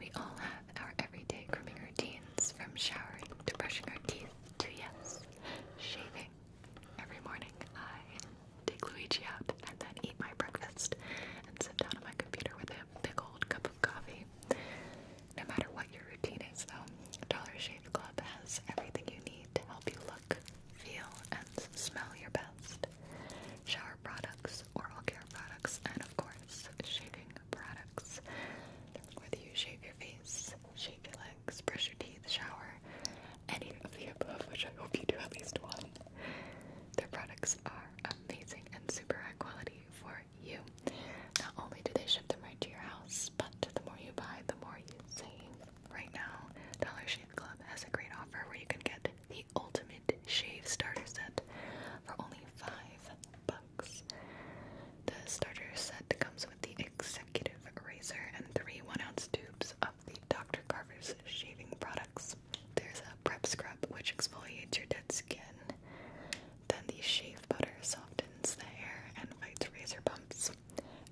We all have our everyday grooming routines from showering to brushing our teeth to yes, shaving. Every morning I take Luigi out and then eat my breakfast and sit down at my computer with a big old cup of coffee. No matter what your routine is though, Dollar Shave Club has everything you need to help you look, feel, and smell your best shower products, oral care products, and of course, shaving products. Whether you shave your face, shave your legs, brush your teeth, shower, any of the above, which I hope you do at least one, their products are amazing and super high quality for you. Not only do they ship them right to your house, but the more you buy, the more you save. Right now, Dollar Shave Club has a great offer where you can get the Ultimate Shave Starter Set for only five bucks. The starter set comes with the executive razor and three one-ounce tubes of the Dr. Carver's shaving products. There's a prep scrub which exfoliates your dead skin. Then the shave butter softens the hair and fights razor bumps.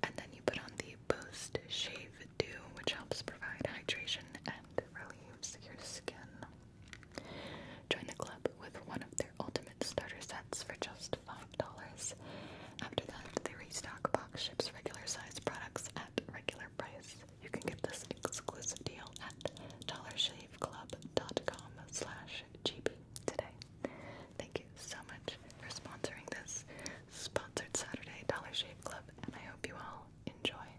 And then you put on the post shave dew, which helps provide hydration and relieves your skin. Join the club with one of their ultimate starter sets for just $5. After that, they restock box ships regular size products at regular price. You can get this exclusive deal at dollarshaveclub.com slash gb today. Thank you so much for sponsoring this sponsored Saturday Dollar Shave Club, and I hope you all enjoy.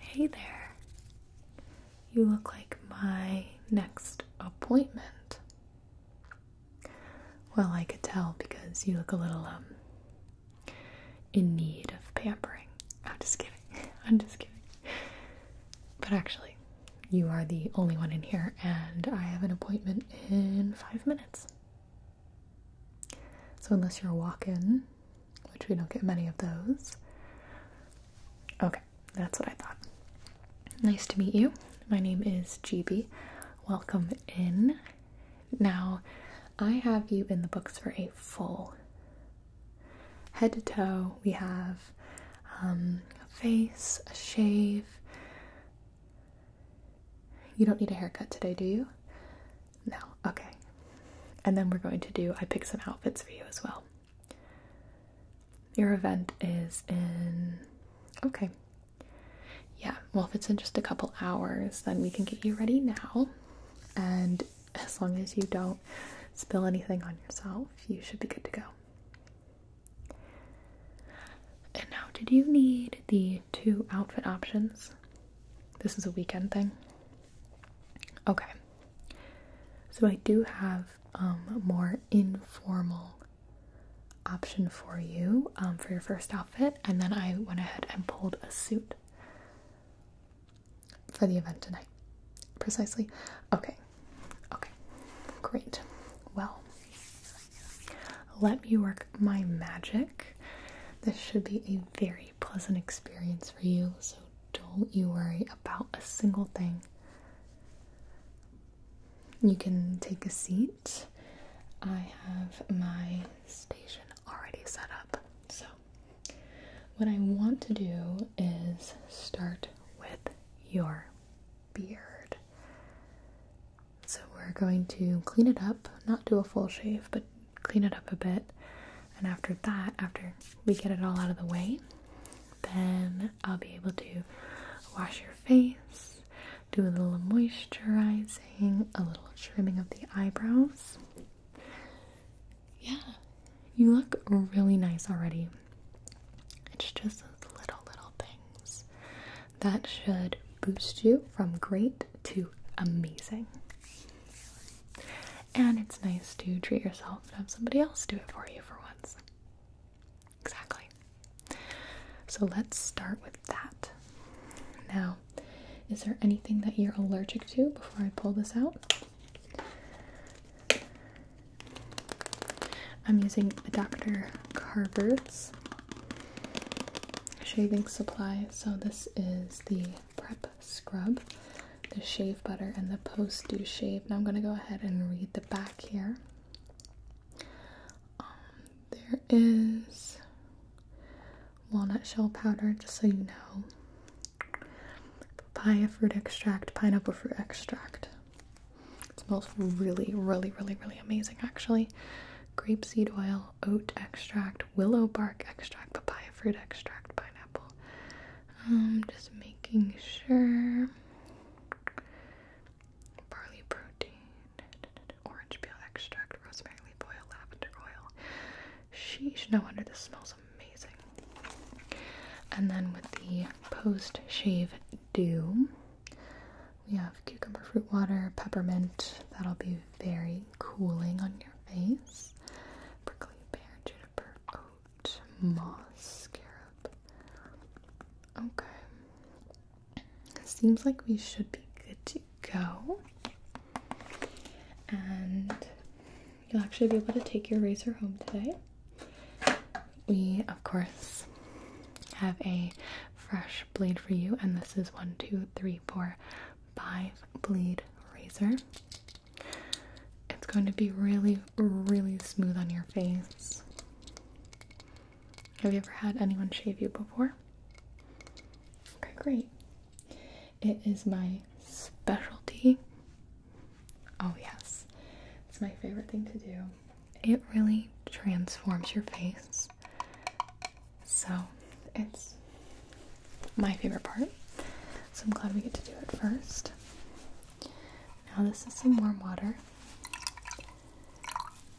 Hey there. You look like my next appointment. Well, I could tell because you look a little um in need of pampering. I'm just kidding. I'm just kidding. But actually, you are the only one in here and I have an appointment in 5 minutes. So, unless you're a walk in, which we don't get many of those. Okay, that's what I thought. Nice to meet you. My name is GB. Welcome in. Now, I have you in the books for a full head to toe. We have um, a face, a shave. You don't need a haircut today, do you? No, okay. And then we're going to do, I picked some outfits for you as well. Your event is in, okay. Yeah, well, if it's in just a couple hours, then we can get you ready now. And as long as you don't spill anything on yourself, you should be good to go. And now, did you need the two outfit options? This is a weekend thing. Okay. So I do have a um, more informal option for you um, for your first outfit and then I went ahead and pulled a suit for the event tonight. Precisely. Okay. Okay. Great. Well, let me work my magic. This should be a very pleasant experience for you, so don't you worry about a single thing. You can take a seat. I have my station already set up. So, what I want to do is start with your beard. So, we're going to clean it up, not do a full shave, but clean it up a bit. And after that, after we get it all out of the way, then I'll be able to wash your face, do a little moisturizing, a little trimming of the eyebrows. Yeah, you look really nice already. It's just those little, little things that should boost you from great to amazing. And it's nice to treat yourself and have somebody else do it for you for once. Exactly. So let's start with that. Now, is there anything that you're allergic to before I pull this out? I'm using Dr. Carver's shaving supply. So, this is the Prep Scrub, the Shave Butter, and the Post Dew Shave. Now I'm going to go ahead and read the back here. Um, there is walnut shell powder, just so you know. Papaya fruit extract, pineapple fruit extract. It smells really, really, really, really amazing actually. Grapeseed oil, oat extract, willow bark extract, papaya fruit extract, pineapple. Um, just making sure. Barley protein, orange peel extract, rosemary oil, lavender oil. Sheesh, no wonder this smells amazing. And then with the post shave do, we have cucumber fruit water, peppermint. That'll be very cooling on your face. Prickly pear, juniper, oat, moss, Okay. Seems like we should be good to go. And you'll actually be able to take your razor home today. We, of course, have a fresh blade for you, and this is one, two, three, four, five bleed razor. It's going to be really, really smooth on your face. Have you ever had anyone shave you before? Okay, great. It is my specialty. Oh, yes, it's my favorite thing to do. It really transforms your face. So it's my favorite part. So I'm glad we get to do it first. Now, this is some warm water.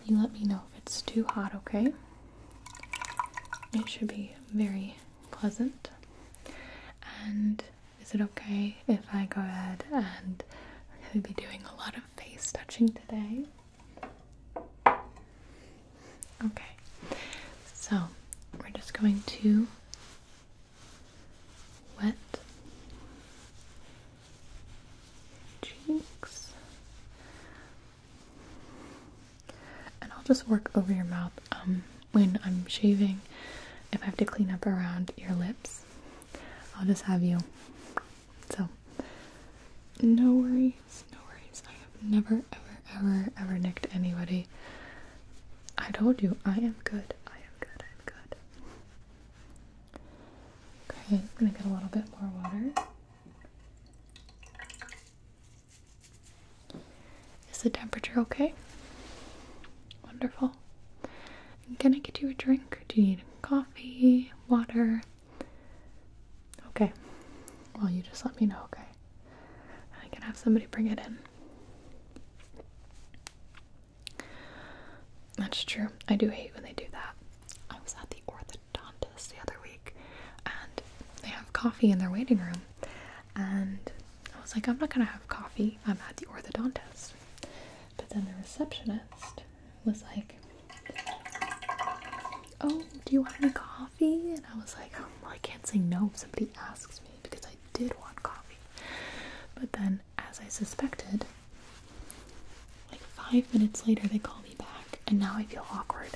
You let me know if it's too hot, okay? It should be very pleasant. And is it okay if I go ahead and we're going to be doing a lot of face touching today? Okay, so we're just going to wet cheeks. And I'll just work over your mouth um, when I'm shaving. If I have to clean up around your lips, I'll just have you. So, no worry no worries. I have never, ever, ever, ever nicked anybody. I told you, I am good. I am good. I'm good. Okay, I'm gonna get a little bit more water. Is the temperature okay? Wonderful. I'm gonna get you a drink. Do you need coffee, water? Okay. Well, you just let me know, okay? way. I can have somebody bring it in. That's true. I do hate when they do that. I was at the orthodontist the other week and they have coffee in their waiting room. And I was like, I'm not gonna have coffee. I'm at the orthodontist. But then the receptionist was like, Oh, do you want any coffee? And I was like, oh, I can't say no if somebody asks me because I did want coffee. But then, as I suspected, like five minutes later, they call me back, and now I feel awkward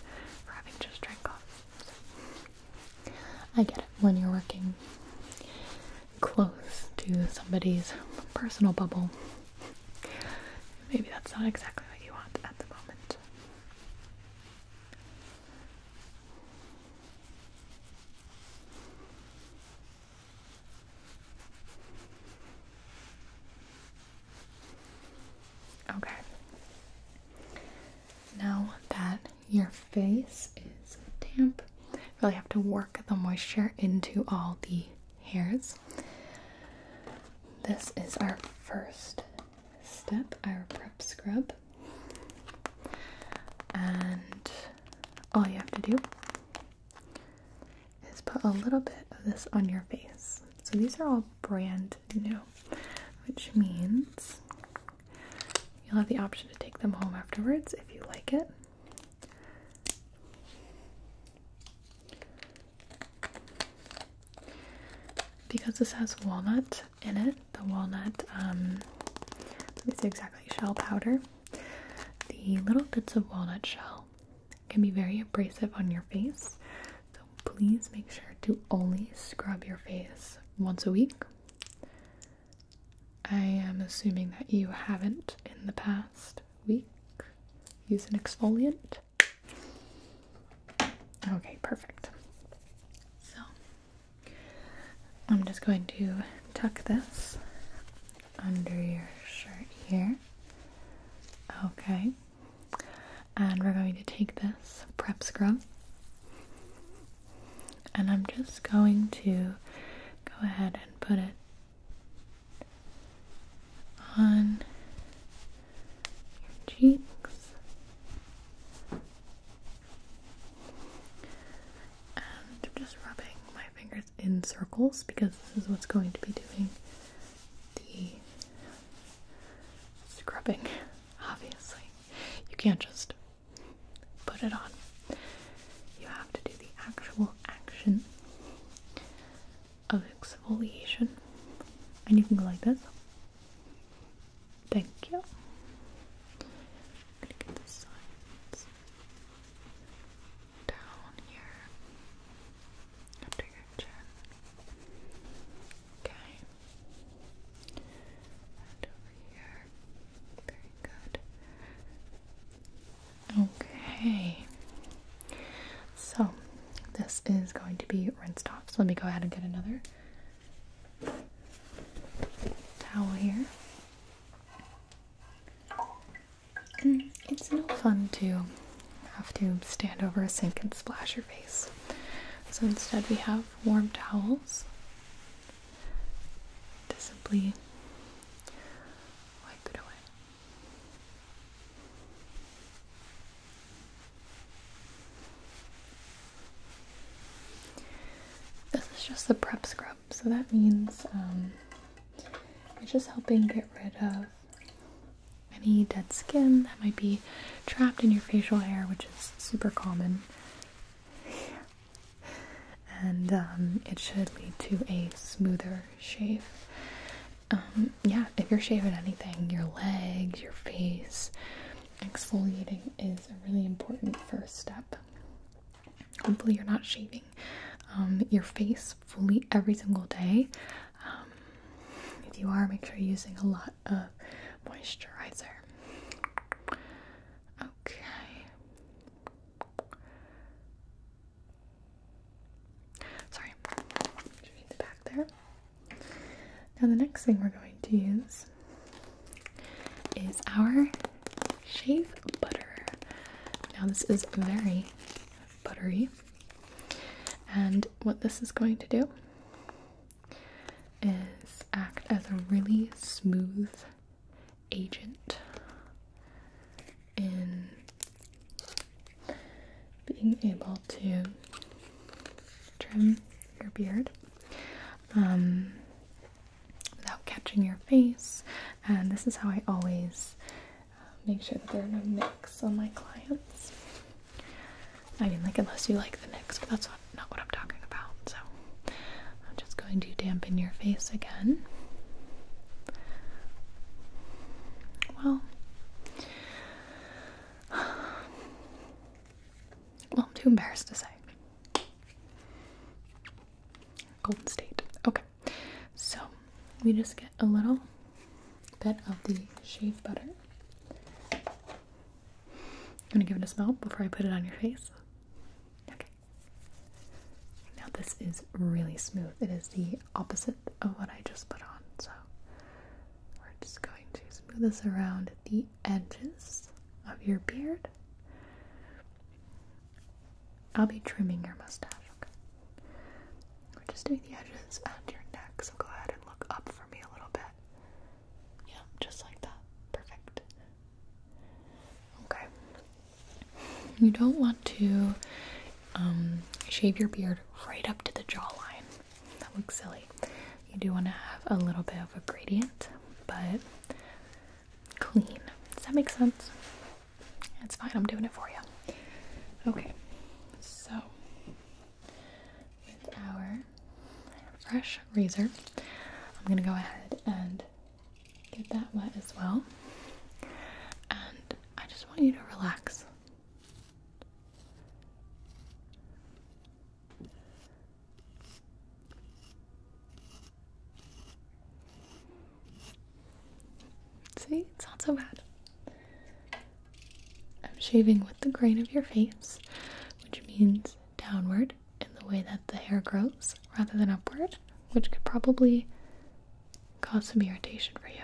for having just drank coffee. So, I get it when you're working close to somebody's personal bubble. Maybe that's not exactly what you want at the moment. Okay. Now that your face is damp, really have to work the moisture into all the hairs. This is our first step, our prep scrub. And all you have to do is put a little bit of this on your face. So these are all brand new, which means you'll have the option to take them home afterwards if you like it. Because this has walnut, in it the walnut, um, let me see exactly, shell powder. The little bits of walnut shell can be very abrasive on your face, so please make sure to only scrub your face once a week. I am assuming that you haven't in the past week used an exfoliant. Okay, perfect. So I'm just going to tuck this under your shirt here. Okay. And we're going to take this prep scrub and I'm just going to go ahead and put it on your cheeks and I'm just rubbing my fingers in circles because this is what's going to be doing the scrubbing, obviously. You can't just put it on. You have to do the actual action of exfoliation. And you can go like this. Thank you. gonna get the sides down here under your chin. Okay. And over here. Very good. Okay. So this is going to be rinsed off. So let me go ahead and get another towel here. Mm, it's no fun to have to stand over a sink and splash your face. So instead, we have warm towels to simply wipe it away. This is just the prep scrub, so that means um, it's just helping get rid of any dead skin that might be trapped in your facial hair, which is super common. and um, it should lead to a smoother shave. Um, yeah, if you're shaving anything, your legs, your face, exfoliating is a really important first step. Hopefully, you're not shaving um, your face fully every single day. Um, if you are, make sure you're using a lot of moisturizer. Okay. Sorry, the back there. Now the next thing we're going to use is our shave butter. Now this is very buttery. And what this is going to do is act as a really smooth agent in being able to trim your beard. Um, without catching your face. And this is how I always uh, make sure that there are no nicks on my clients. I mean, like, unless you like the nicks, but that's not, not what I'm talking about. So I'm just going to dampen your face again. Well, well, I'm too embarrassed to say. Golden State. Okay, so we just get a little bit of the shave butter. I'm gonna give it a smell before I put it on your face. Okay. Now this is really smooth. It is the opposite of what I just put on, so we're just going to smooth this around the edges of your beard. I'll be trimming your mustache, We're just doing the edges and your neck, so go ahead and look up for me a little bit. Yeah, just like that. Perfect. Okay. You don't want to um, shave your beard right up to the jawline. That looks silly. You do want to have a little bit of a gradient, but clean. Does that make sense? It's fine, I'm doing it for you. Okay, so with our fresh razor, I'm gonna go ahead and get that wet as well. And I just want you to relax. See, it's not so bad. I'm shaving with the grain of your face, which means downward in the way that the hair grows rather than upward, which could probably cause some irritation for you.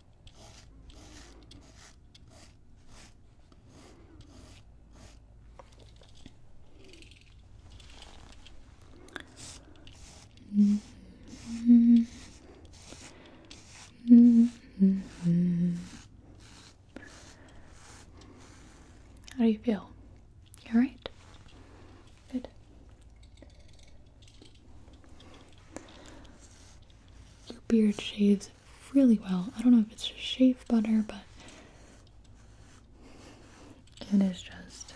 Mm -hmm. Mm -hmm. How do you feel? You alright? Good. Your beard shaves really well. I don't know if it's just shave butter, but it is just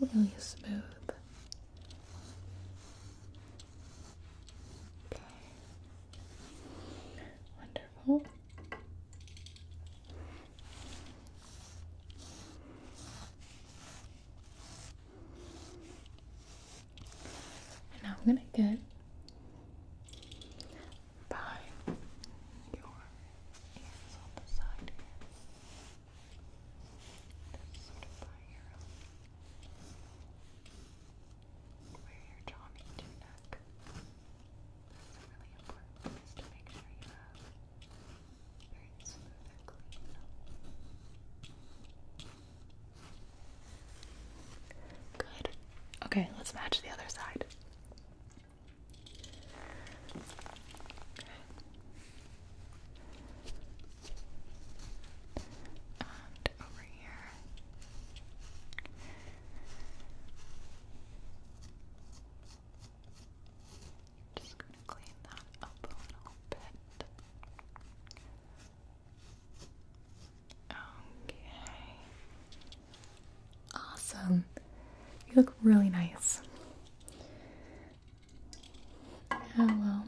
really smooth. Okay. Wonderful. And now I'm gonna get by your ears on the side um, where your jaw meets your neck. This really important is to make sure you have very smooth clean. Good. Okay, let's match the other side. Okay. over here. Just going to clean that up a little bit. Okay. Awesome. You look really nice. Hello. Oh,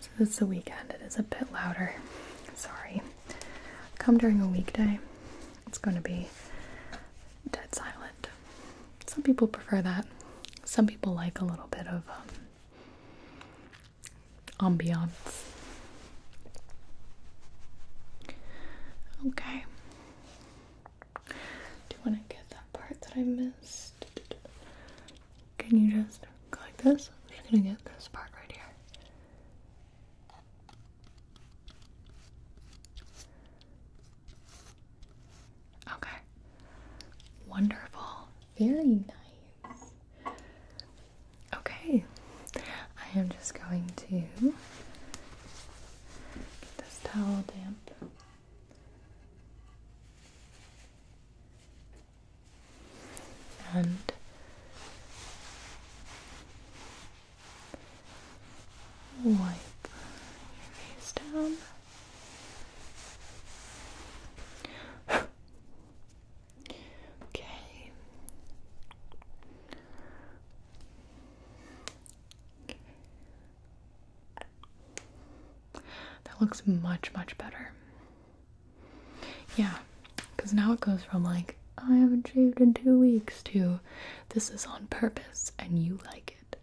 so it's is a weekend. It is a bit louder. Sorry. Come during a weekday. It's going to be dead silent. Some people prefer that. Some people like a little bit of um, ambiance. Okay. Do you want to get that part that I missed? Can you just go like this? I'm just gonna get this part right here. Okay. Wonderful. Very nice. Okay, I am just going to get this towel damp. And wipe your face down. Okay. That looks much, much better. Yeah, because now it goes from like, I haven't shaved in two weeks to this is on purpose and you like it.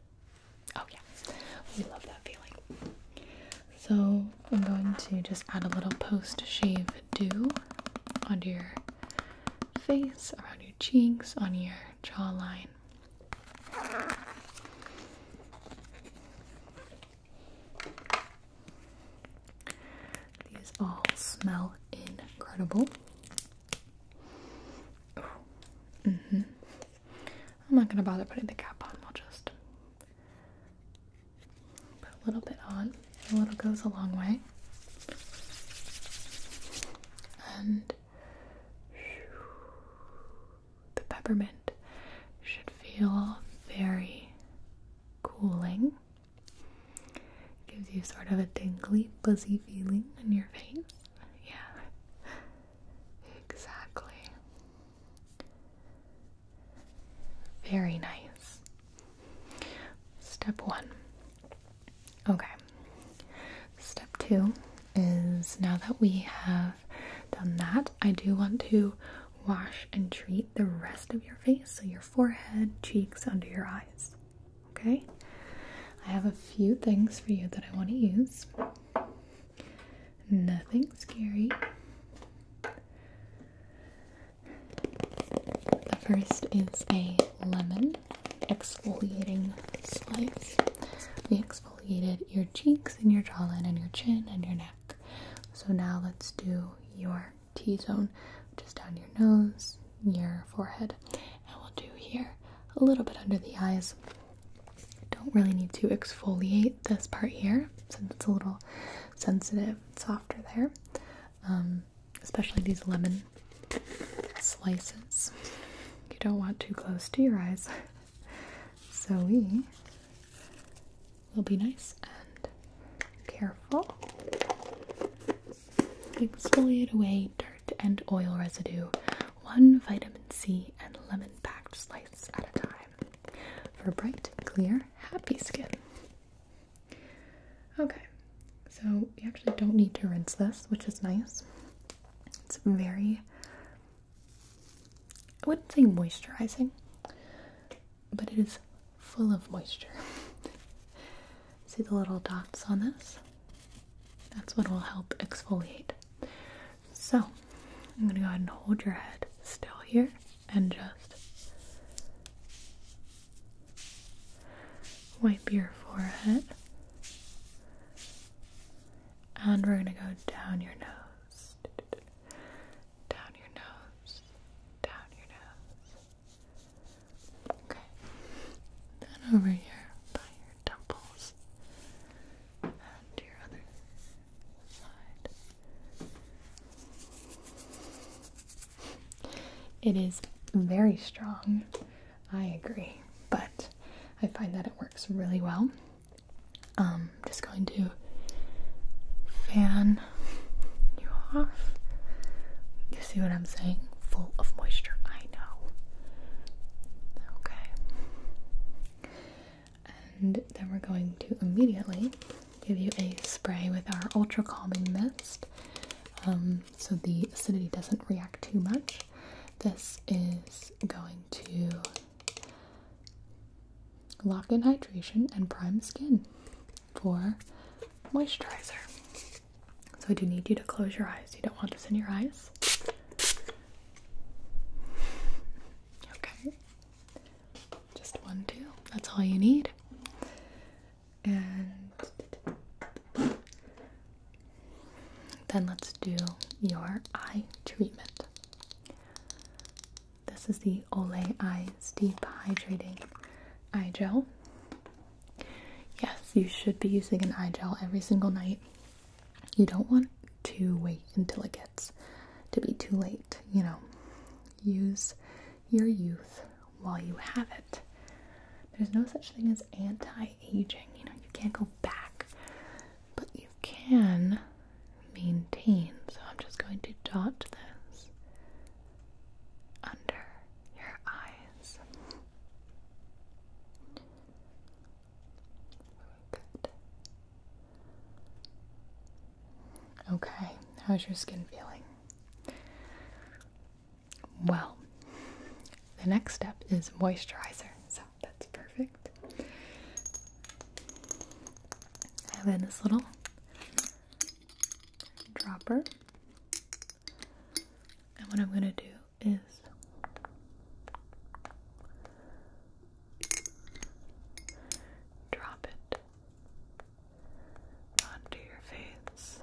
Oh, yeah, we love that feeling. So I'm going to just add a little post-shave dew onto your face, around your cheeks, on your jawline. These all smell incredible. Mm-hmm. I'm not gonna bother putting the cap on, I'll just Put a little bit on. A little goes a long way. And the peppermint should feel very cooling. gives you sort of a tingly, buzzy feeling in your face. Yeah, exactly. Very nice. Step one. Okay. Step two is now that we have done that, I do want to wash and treat the rest of your face, so your forehead, cheeks, under your eyes. Okay? I have a few things for you that I want to use. Nothing scary. The first is a lemon exfoliating slice. We exfoliated your cheeks and your jawline and your chin and your neck. So now let's do your T zone, just down your nose, your forehead, and we'll do here a little bit under the eyes. Don't really need to exfoliate this part here since it's a little sensitive softer there, um, especially these lemon slices. You don't want too close to your eyes. so we will be nice and careful. Exfoliate away dirt and oil residue, one vitamin C and lemon packed slice at a time for bright, clear, happy skin. Okay, so you actually don't need to rinse this, which is nice. It's very, I wouldn't say moisturizing, but it is full of moisture. See the little dots on this? That's what will help exfoliate. So, I'm going to go ahead and hold your head still here and just wipe your forehead. And we're going to go down your nose. Down your nose. Down your nose. Okay. Then over here by your temples and your other it is very strong, I agree, but I find that it works really well. Um, just going to fan you off. You see what I'm saying? Full of moisture, I know. Okay. And then we're going to immediately give you a spray with our ultra calming mist um, so the acidity doesn't react too much. This is going to lock in hydration and prime skin for moisturizer. So I do need you to close your eyes. You don't want this in your eyes. Okay. Just one, two. That's all you need. And then let's do your eye treatment. This is the Olay Eyes Deep Hydrating Eye Gel. Yes, you should be using an eye gel every single night. You don't want to wait until it gets to be too late, you know. Use your youth while you have it. There's no such thing as anti-aging. You know, you can't go back, but you can maintain. So I'm just going to dot this under your eyes. Good. Okay, how's your skin feeling? Well, the next step is moisturizer, so that's perfect. I have this little dropper, and what I'm going to do is drop it onto your face.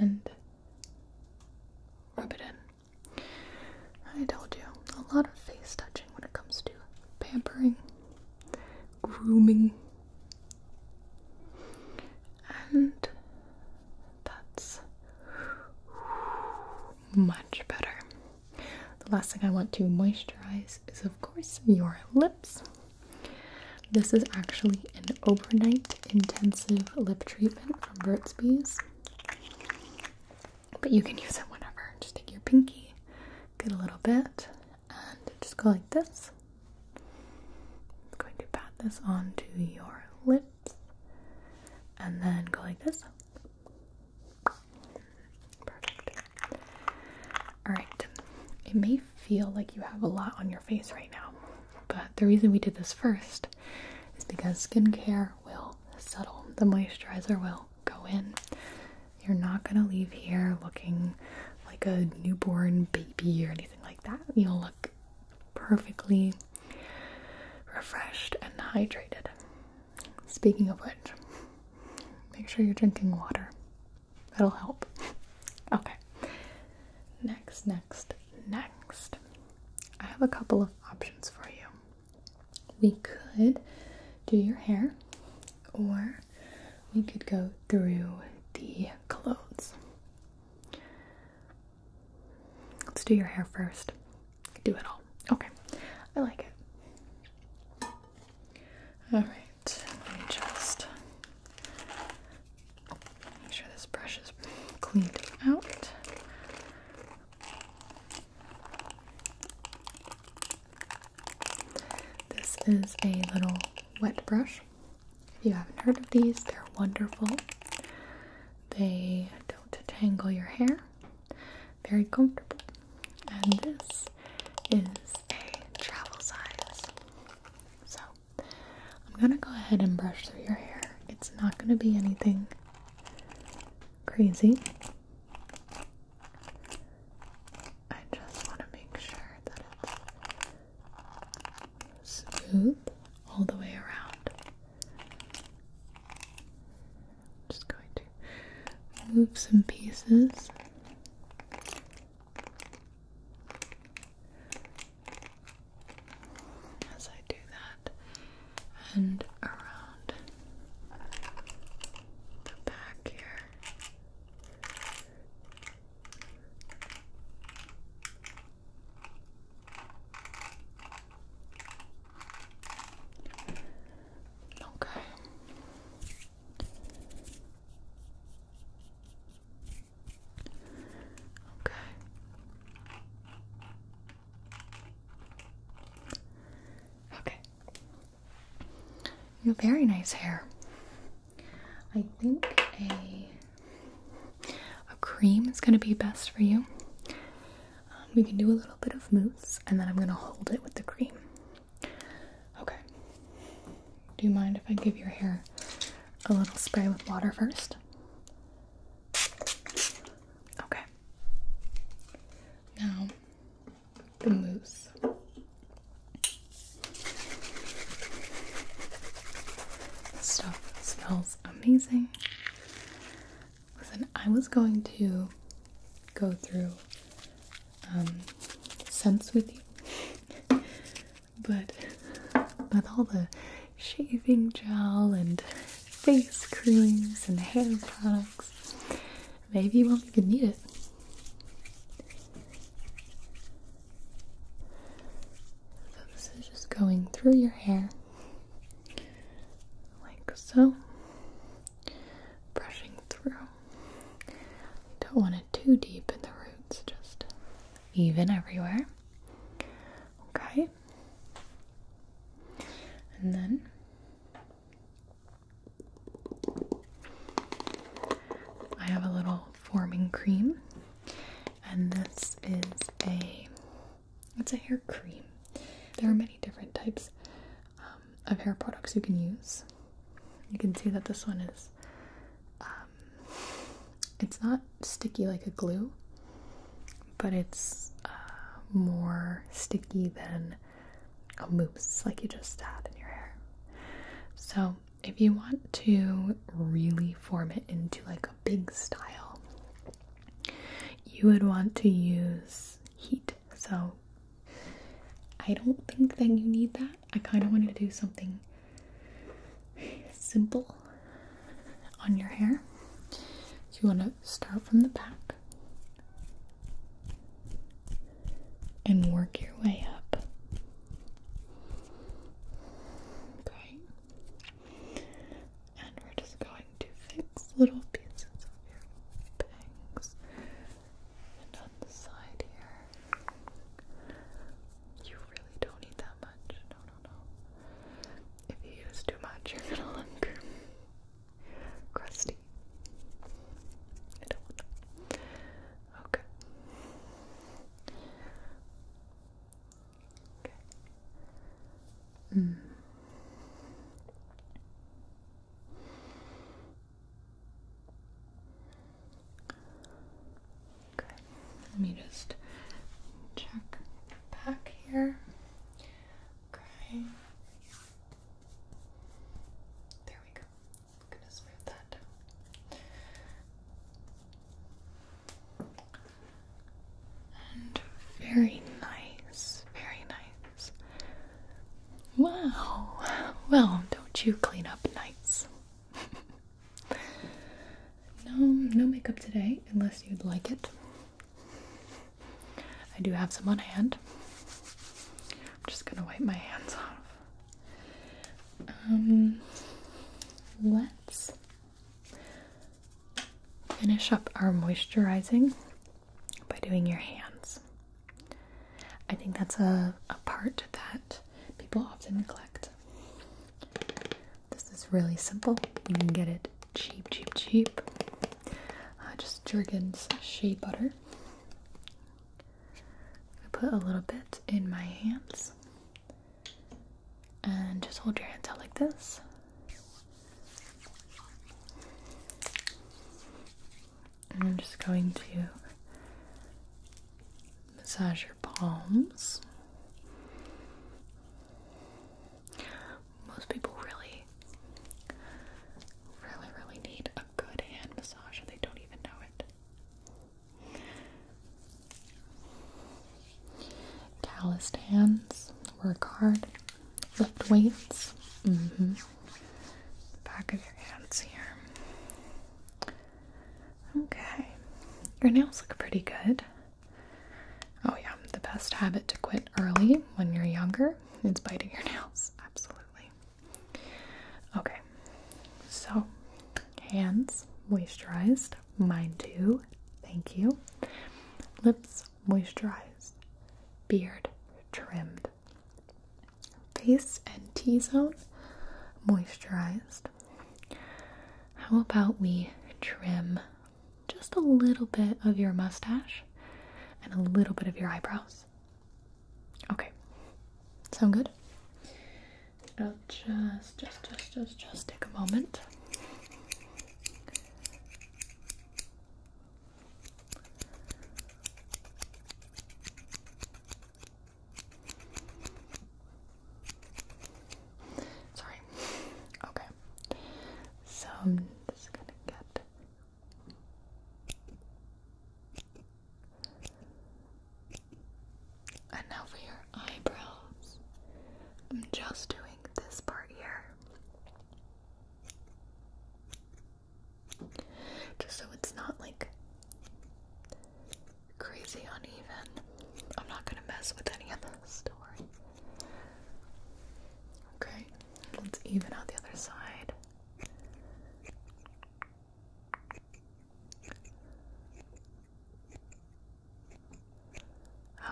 And rub it in. I told you, a lot of face touching when it comes to pampering, grooming, and that's much better. The last thing I want to moisturize is, of course, your lips. This is actually an overnight intensive lip treatment from Burt's Bees. But you can use it whenever. Just take your pinky, get a little bit, and just go like this. I'm going to pat this onto your lips, and then go like this. Perfect. Alright, it may feel like you have a lot on your face right now, but the reason we did this first is because skincare will settle. The moisturizer will go in. You're not going to leave here looking like a newborn baby or anything like that. You'll look perfectly refreshed and hydrated. Speaking of which, make sure you're drinking water. That'll help. Okay. Next, next, next. I have a couple of options for you. We could do your hair, or we could go through the clothes. Let's do your hair first do it all. Okay, I like it. Alright, let me just make sure this brush is cleaned out. This is a little wet brush. If you haven't heard of these, they're wonderful. They don't tangle your hair very comfortable. And this is a travel size. So I'm gonna go ahead and brush through your hair. It's not gonna be anything crazy. I just want to make sure that it's smooth all the way around just going to move some pieces. As I do that, and around the back here. Okay. Okay. Okay. You have very nice hair. I think a a cream is going to be best for you. Um, we can do a little bit of mousse, and then I'm gonna hold it with the cream. Okay. Do you mind if I give your hair a little spray with water first? Okay. Now, the mousse. stuff smells amazing. Listen, I was going to go through um, scents with you, but with all the shaving gel and face creams and hair products, maybe you won't even need it. So, this is just going through your hair like so brushing through. don't want it too deep in the roots, just even everywhere. Okay. And then I have a little forming cream, and this is a it's a hair cream. There are many different types. Um, of hair products you can use. You can see that this one is, um, it's not sticky like a glue, but it's uh, more sticky than a mousse like you just had in your hair. So if you want to really form it into like a big style, you would want to use heat so I don't think that you need that. I kind of wanted to do something simple on your hair. So you want to start from the back and work your way up. Okay. And we're just going to fix little pieces of your bangs and on the side here, you really don't need that much. No, no, no. If you use too much, you're gonna look crusty. I don't want that. Okay. Okay. Mm let me just check back here. Okay. There we go. I'm gonna smooth that down. And very nice, very nice. Wow. Well, don't you clean up nights? no, no makeup today, unless you'd like it. I do have some on hand. I'm just gonna wipe my hands off. Um, let's finish up our moisturizing by doing your hands. I think that's a, a part that people often neglect. This is really simple. You can get it cheap, cheap, cheap. Uh, just Jergens shea butter. I put a little bit in my hands. And just hold your hands out like this. I'm just going to massage your palms. Most people really, really, really need a good hand massage and they don't even know it. Calloused hands, work hard, lift weights. Mm-hmm back of your hands here. Okay, your nails look pretty good. Oh, yeah, the best habit to quit early when you're younger is biting your nails. Absolutely. Okay, so hands moisturized, mine too. Thank you. Lips moisturized, beard trimmed. Face and T zone moisturized. How about we trim just a little bit of your mustache and a little bit of your eyebrows? Okay, sound good? it will just, just, just, just, just take a moment. Sorry. Okay. So I'm just gonna get and now for your eyebrows. I'm just doing this part here. Just so it's not like crazy uneven. I'm not gonna mess with any of the story. Okay, let's even out the other side.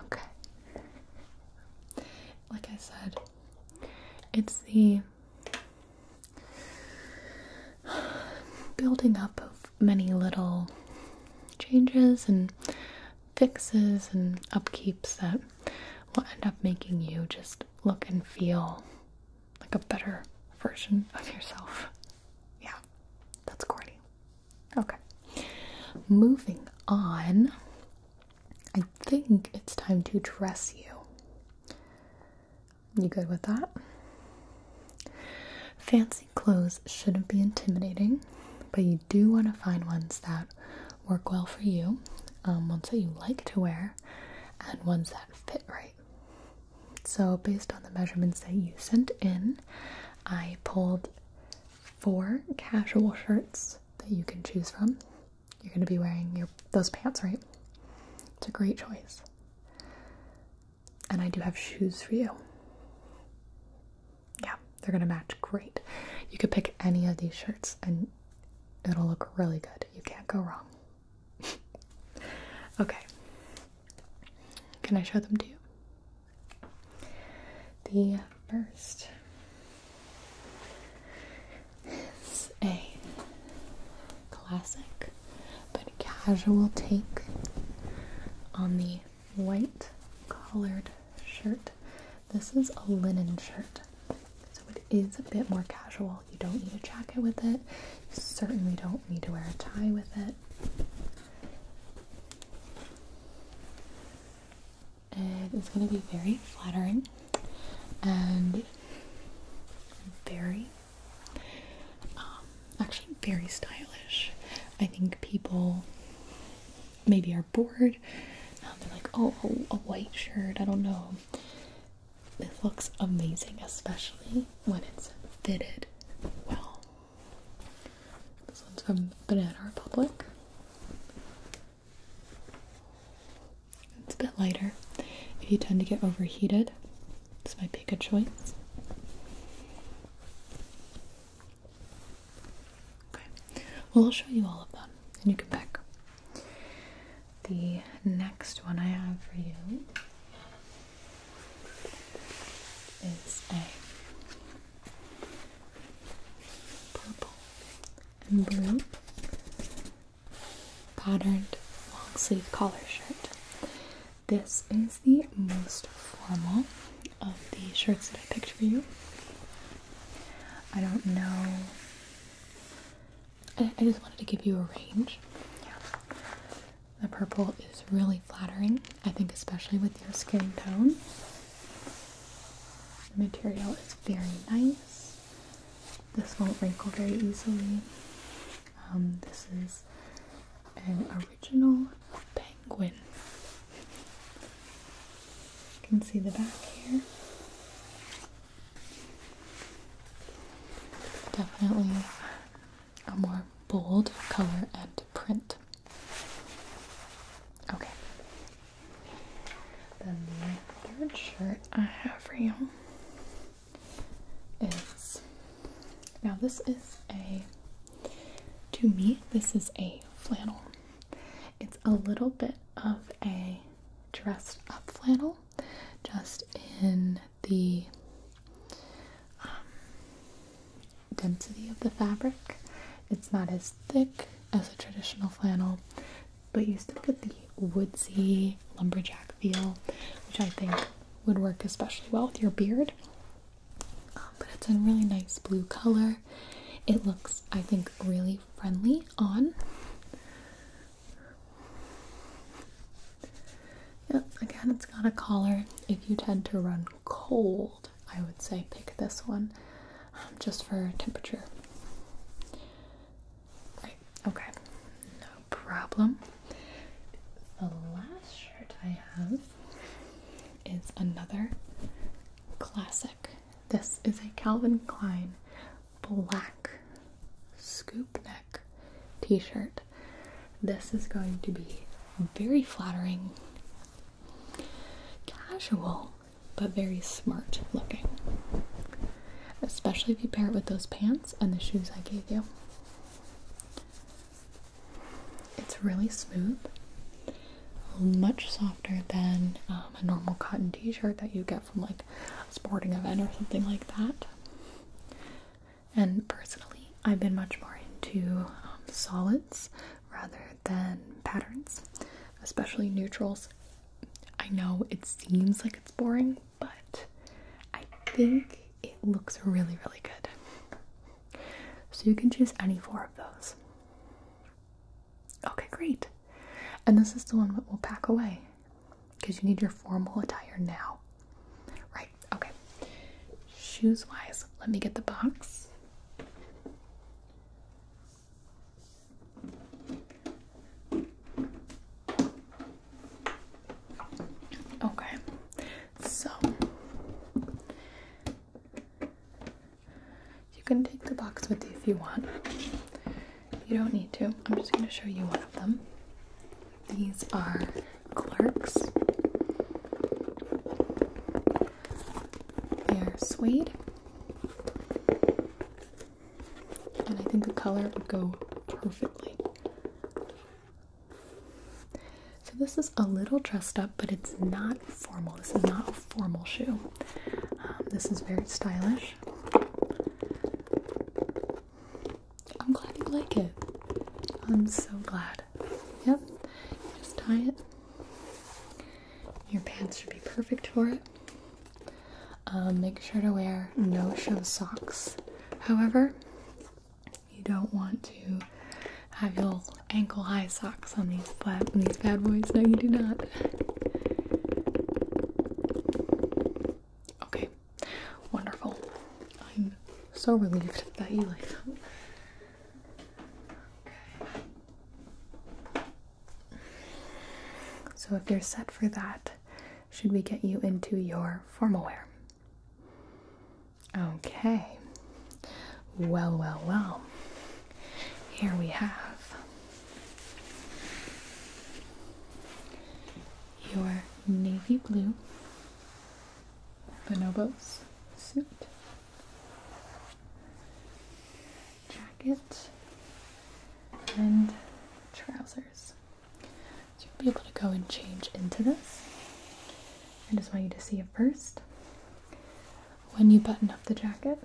Okay. Like I said, it's the building up of many little changes and fixes and upkeeps that will end up making you just look and feel like a better version of yourself. Yeah, that's corny. Okay, moving on. I think it's time to dress you. You good with that? Fancy clothes shouldn't be intimidating, but you do want to find ones that work well for you, um, ones that you like to wear, and ones that fit right. So, based on the measurements that you sent in, I pulled four casual shirts that you can choose from you're going to be wearing your those pants, right? It's a great choice. And I do have shoes for you. Yeah, they're going to match great. You could pick any of these shirts and it'll look really good. You can't go wrong. okay. Can I show them to you? The first is a classic but casual take on the white collared shirt. This is a linen shirt, so it is a bit more casual. You don't need a jacket with it, you certainly don't need to wear a tie with it. It is going to be very flattering and very um, actually, very stylish. I think people maybe are bored. Um, they're like, oh, a white shirt. I don't know. This looks amazing, especially when it's fitted well. This one's from Banana Republic. It's a bit lighter. If you tend to get overheated, this might be a choice. Okay, well, I'll show you all of them and you can pick. The next one I have for you is a purple and blue patterned long sleeve collar shirt. This is the most formal of the shirts that I picked for you. I don't know. I, just wanted to give you a range. The purple is really flattering, I think, especially with your skin tone. The material is very nice. This won't wrinkle very easily. Um, this is an original penguin. You can see the back here. Definitely a more bold color and print. Okay. Then the third shirt I have for you now this is a to me this is a flannel. It's a little bit of a dressed up flannel just in the um, density of the fabric. It's not as thick as a traditional flannel, but you still get the woodsy lumberjack feel, which I think would work especially well with your beard. Um, but it's a really nice blue color. It looks, I think, really friendly on. Yep, again, it's got a collar. If you tend to run cold, I would say pick this one um, just for temperature. Okay, no problem. The last shirt I have is another classic. This is a Calvin Klein black scoop neck t shirt. This is going to be very flattering, casual, but very smart looking. Especially if you pair it with those pants and the shoes I gave you. It's really smooth, much softer than um, a normal cotton t-shirt that you get from like a sporting event or something like that. And personally, I've been much more into um, solids rather than patterns, especially neutrals. I know it seems like it's boring, but I think it looks really, really good. So you can choose any four of those. Okay, great. And this is the one that we'll pack away because you need your formal attire now. Right, okay. Shoes wise, let me get the box. Okay, so you can take the box with you if you want. You don't need to. I'm just going to show you one of them. These are Clerks. They're suede. And I think the color would go perfectly so this is a little dressed up, but it's not formal. This is not a formal shoe. Um, this is very stylish. I'm glad you like it. I'm so glad. Yep. Just tie it. Your pants should be perfect for it. Um, make sure to wear no show socks. However, you don't want to have your ankle high socks on these flat these bad boys. No, you do not. Okay, wonderful. I'm so relieved that you like them. Okay. So if you're set for that, should we get you into your formal wear? Okay. Well, well, well. Here we have your navy blue bonobos suit jacket and trousers you'll be able to go and change into this. I just want you to see it first. When you button up the jacket,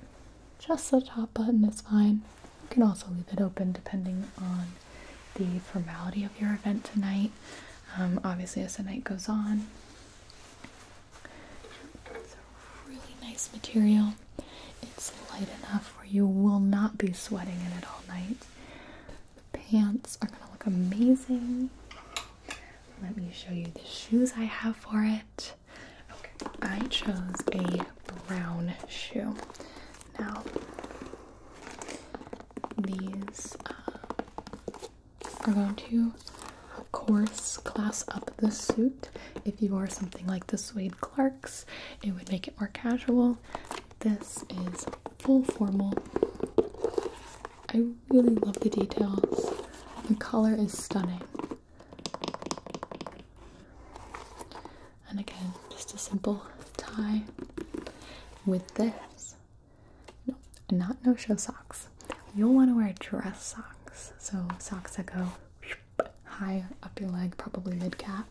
just the top button is fine. You can also leave it open depending on the formality of your event tonight. Um, obviously, as the night goes on, it's a really nice material. It's light enough where you will not be sweating in it all night. The pants are gonna look amazing. Let me show you the shoes I have for it. Okay, I chose a brown shoe. Now, these uh, are going to, of course, class up the suit. If you wore something like the suede Clarks, it would make it more casual. This is full formal. I really love the details. The color is stunning. And again, just a simple tie with this. not no show socks. You'll want to wear dress socks. So socks that go high up your leg, probably mid calf.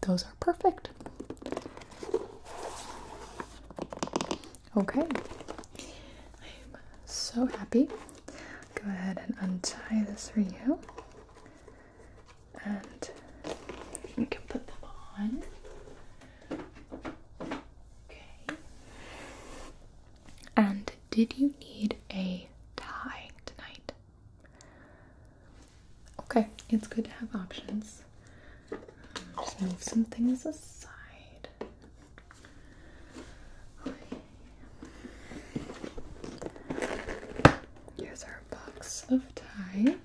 Those are perfect. Okay, I'm so happy. Go ahead and untie this for you, and you can put them on. Okay, and did you need a tie tonight? Okay, it's good to have options. Just move some things aside. Okay. Here's our box of ties.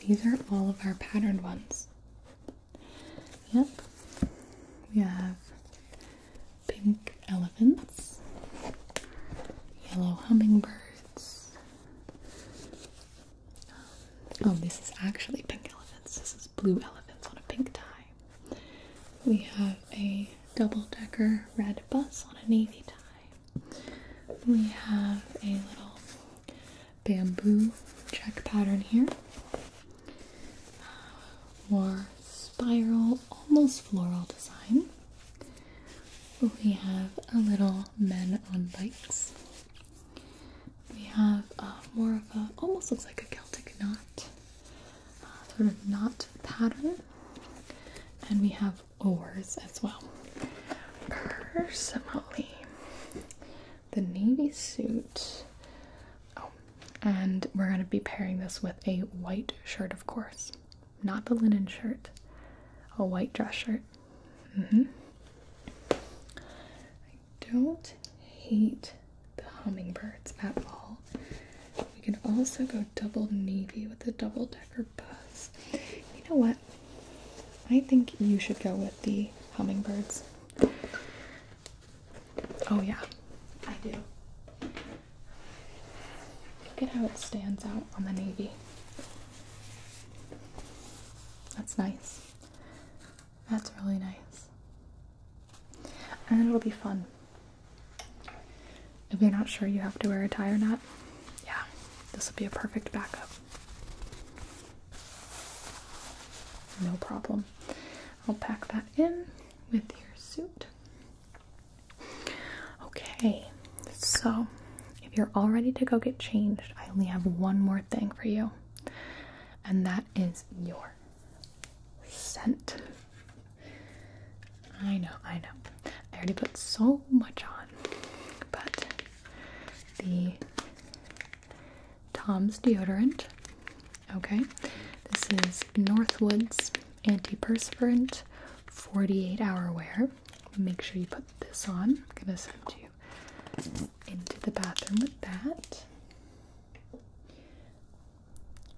These are all of our patterned ones. Yep. We have pink elephants, yellow hummingbirds. Um, oh, this is actually pink elephants. This is blue elephants on a pink tie. We have a double decker red bus on a navy tie. We have a little bamboo check pattern here more spiral, almost floral design. We have a little men on bikes. We have uh, more of a, almost looks like a Celtic knot, uh, sort of knot pattern. And we have oars as well. Personally, the navy suit. Oh, and we're going to be pairing this with a white shirt, of course. Not the linen shirt, a white dress shirt. Mm-hmm. I don't hate the hummingbirds at all. We can also go double navy with a double decker bus. You know what? I think you should go with the hummingbirds. Oh, yeah, I do. Look at how it stands out on the navy. That's nice. That's really nice. And it'll be fun. If you're not sure you have to wear a tie or not, yeah, this will be a perfect backup. No problem. I'll pack that in with your suit. Okay, so if you're all ready to go get changed, I only have one more thing for you, and that is your scent. I know, I know. I already put so much on, but the Tom's deodorant. Okay, this is Northwoods Anti-perspirant, 48 hour wear. Make sure you put this on. I'm gonna send you into the bathroom with that.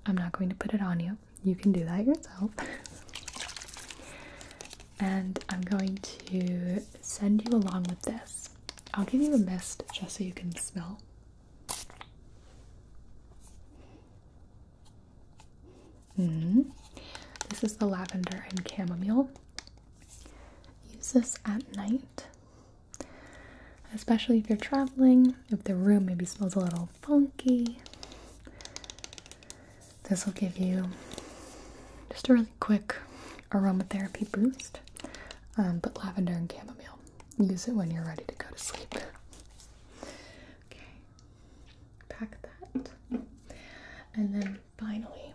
I'm not going to put it on you. You can do that yourself. and I'm going to send you along with this. I'll give you a mist just so you can smell Mm-hmm. This is the lavender and chamomile. Use this at night, especially if you're traveling, if the room maybe smells a little funky. This will give you just a really quick aromatherapy boost. Um, but lavender and chamomile, use it when you're ready to go to sleep. Okay, pack that. And then finally,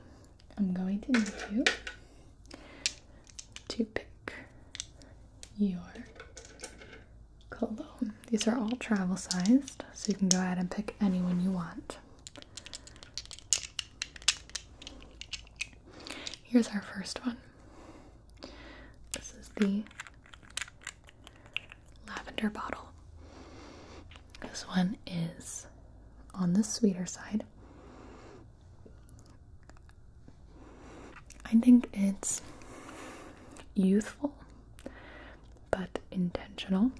I'm going to need you to pick your cologne. These are all travel sized, so you can go ahead and pick any one you want. Here's our first one. This is the lavender bottle. This one is on the sweeter side. I think it's youthful but intentional.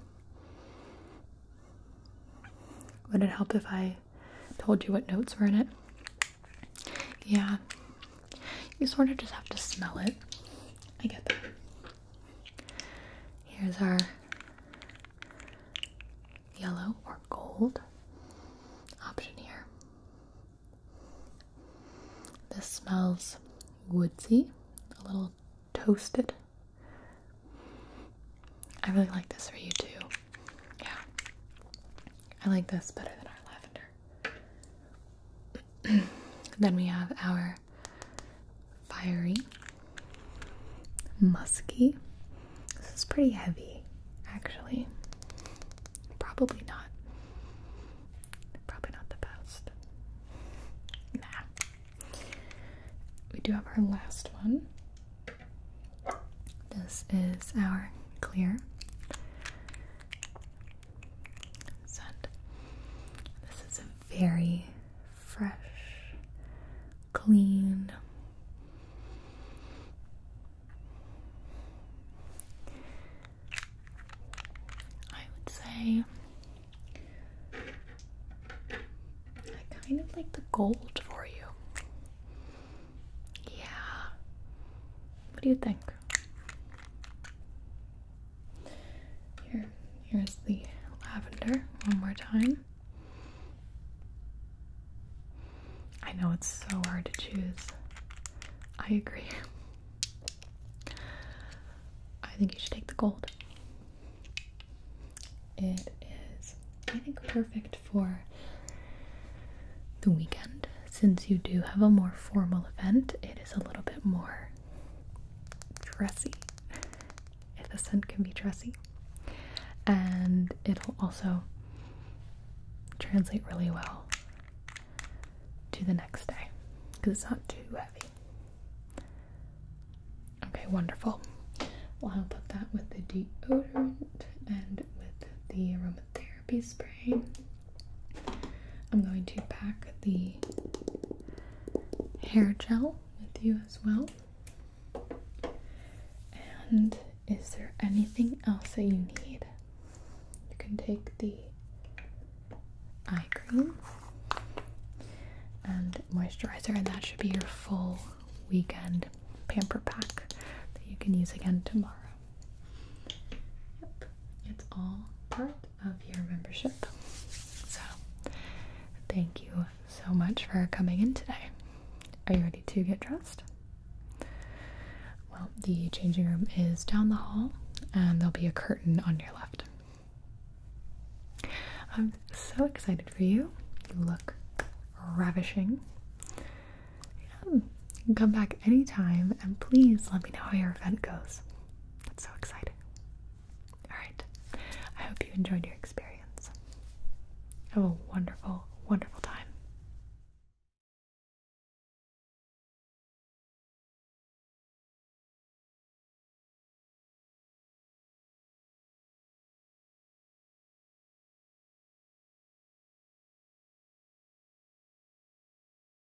Would it help if I told you what notes were in it? Yeah, you sort of just have to smell it. I get that. Here's our yellow or gold option here. This smells woodsy, a little toasted. I really like this for you too. Yeah. I like this better than our lavender. then we have our fiery, musky. This is pretty heavy, actually. Probably not. Probably not the best. Nah. We do have our last one. This is our clear scent. This is a very fresh, clean, I would say. I kind of like the gold for you. Yeah. What do you think? Here, here's the lavender one more time. I know it's so hard to choose. I agree. I think you should take the gold. It is, I think, perfect for the weekend since you do have a more formal event, it is a little bit more dressy, if the scent can be dressy. And it'll also translate really well to the next day because it's not too heavy. Okay, wonderful. Well, I'll put that with the deodorant and with the aroma therapy spray. I'm going to pack the hair gel with you as well. And is there anything else that you need? You can take the eye cream and moisturizer, and that should be your full weekend pamper pack that you can use again tomorrow. Yep, it's all part of your membership. So, thank you so much for coming in today. Are you ready to get dressed? Well, the changing room is down the hall, and there'll be a curtain on your left. I'm so excited for you. You look ravishing. Yeah. Come back anytime and please let me know how your event goes. That's so exciting. Alright, I hope you enjoyed your experience. Have a wonderful, wonderful time.